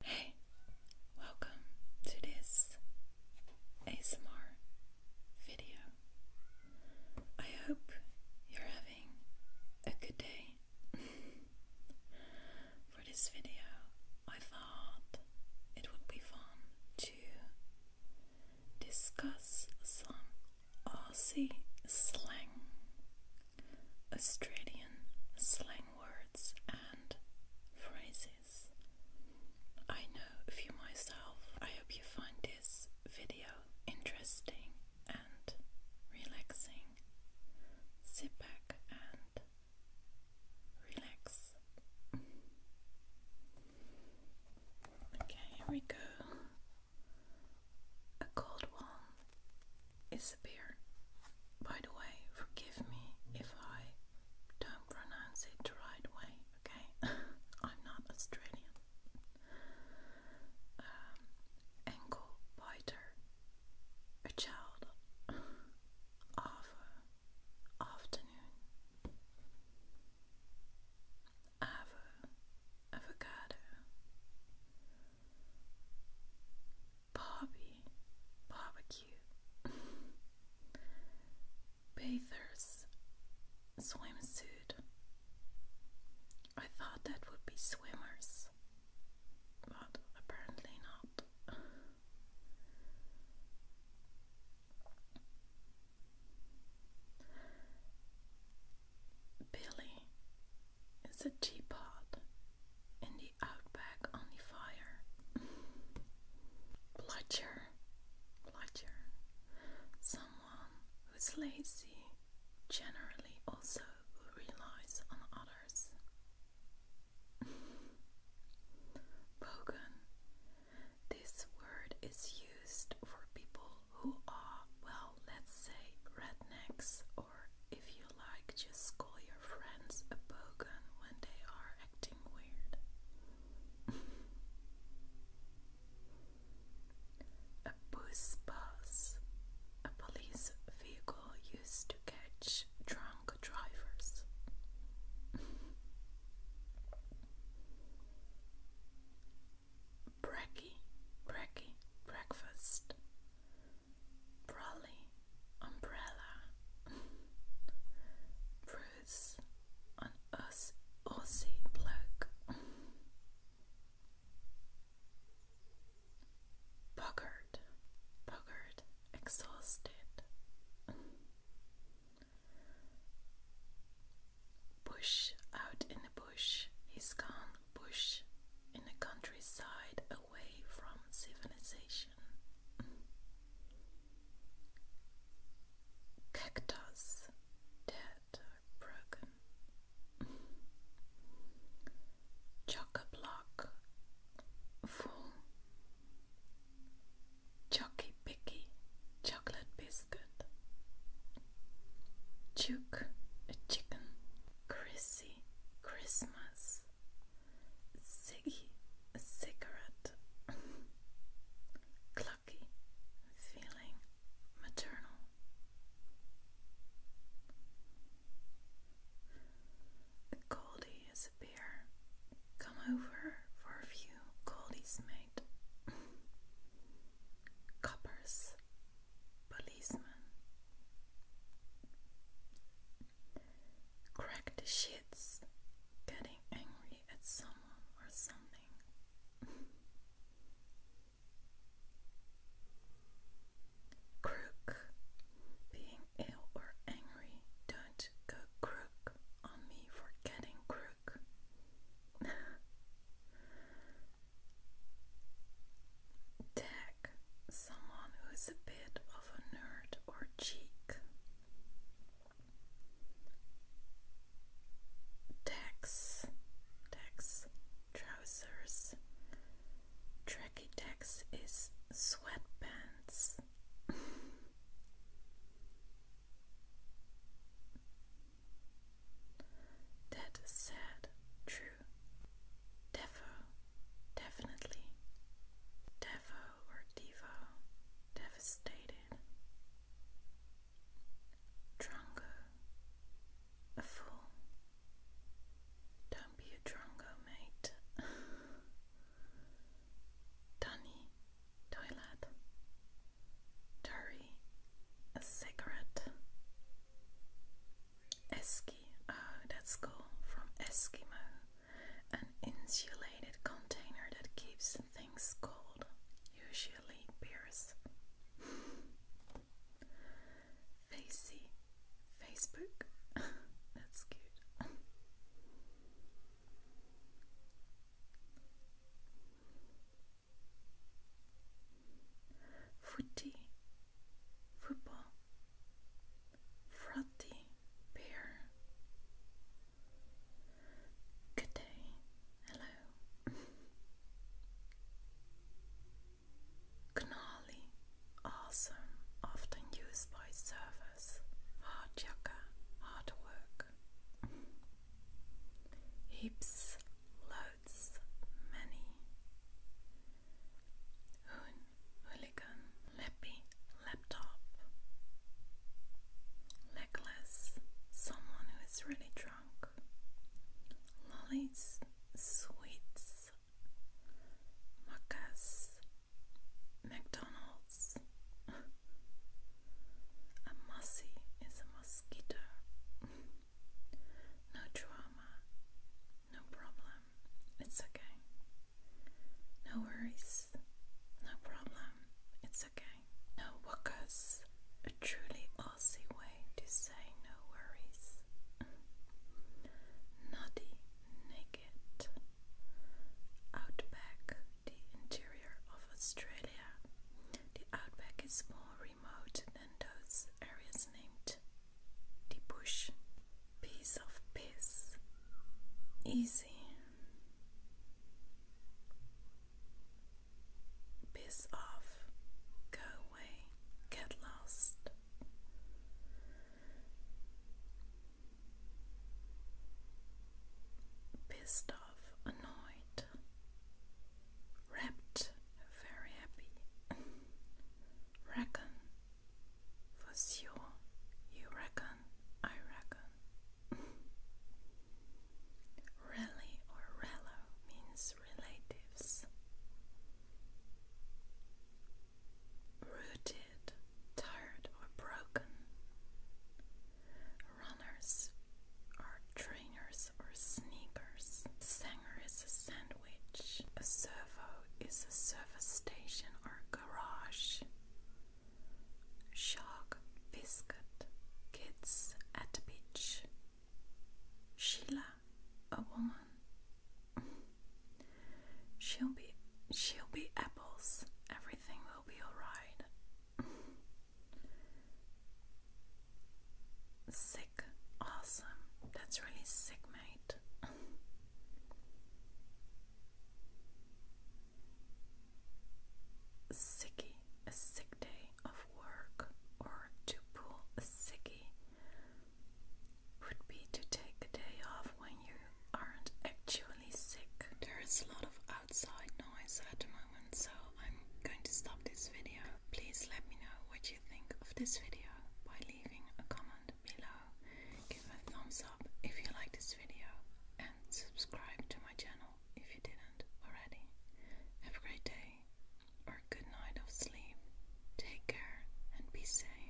Hey, welcome to this ASMR video. I hope you're having a good day. For this video, I thought it would be fun to discuss some Aussie slang Australian slang words and phrases. I know a few myself. I hope you find this video interesting and relaxing. Sit back and relax. Okay, here we go. A cold one is a beer. By the way, forgive me if I don't pronounce it the right way, okay? I'm not Australian. Um, ankle a child of afternoon. Avo, avocado. Bobby Barbecue Bathers Swimsuit I thought that would be swimmers, but apparently not. Billy is a teapot in the outback on the fire. Bludger, bludger, someone who's lazy, generally also relies on others. Bogan. This word is used for people who are, well, let's say rednecks if you like, just call your friends a bogan when they are acting weird. a bus bus, a police vehicle used to catch drunk drivers. Bracky, bracky, breakfast. Brolly, umbrella. Bruce, an Aussie, bloke. Buggered, buggered, exhausted. Bush, out in the bush, he's gone bush in the countryside away from civilization. Cactus, dead or broken. Chock full. Chocky chocolate biscuit good. a chicken. Chrissy, Christmas. Ziggy, a cigarette. Clucky, feeling maternal. Goldie is a beer. Come over for a few Goldies, mate. Coppers, policeman. Crack the shits, getting angry at someone or something. crook, being ill or angry, don't go crook on me for getting crook work. someone who is a bit of a nerd or cheek. Tax, tax, trousers. Tracky tax is sweatpants. That is sad, true. Defo, definitely. Defo or Devo, devastated. Drongo, a fool. Don't be a drongo, mate. Danny, toilet. Turi, a cigarette. Eski, oh, that's cool, from Eskimo. An insulated container that keeps things cold, usually beers. Facey, Facebook, that's cute. Footy, football, frothy, beer. Good day, hello. Gnarly, awesome, often used by servers. Hard hard work heaps, loads, many. hooligan, leppy, laptop. Legless, someone who is really drunk. Lollies, sweets. Muckas, McDonald's, a mussy is a mosquito. no drama, no problem. It's okay. No worries, no problem. It's okay. No walkers. A truly Aussie way to say no worries. Noddy naked. Outback the interior of Australia. The outback is more remote than those areas named. The bush, piece of piss, easy, piss off, go away, get lost pissed off, annoyed, rapt, very happy. reckon, for sure, you reckon, I reckon. Rally or rello means relatives rooted, tired, or broken. Runners are trainers or sneakers. Sanger is a sandwich. A servo is a service station or garage. Shark, biscuit, kids at the beach. Sheila, a woman. She'll be she'll be apples. Everything will be alright. sick. Awesome. That's really sick, mate. Sicky. A sick day of work or to pull a sickie would be to take a day off when you aren't actually sick. There is a lot of outside noise at the moment, so I'm going to stop this video. Please let me know what you think of this video by leaving a comment below. Give a thumbs up if you like this video and subscribe to my channel if you didn't already. Have a great day or good night of sleep. Take care and be safe.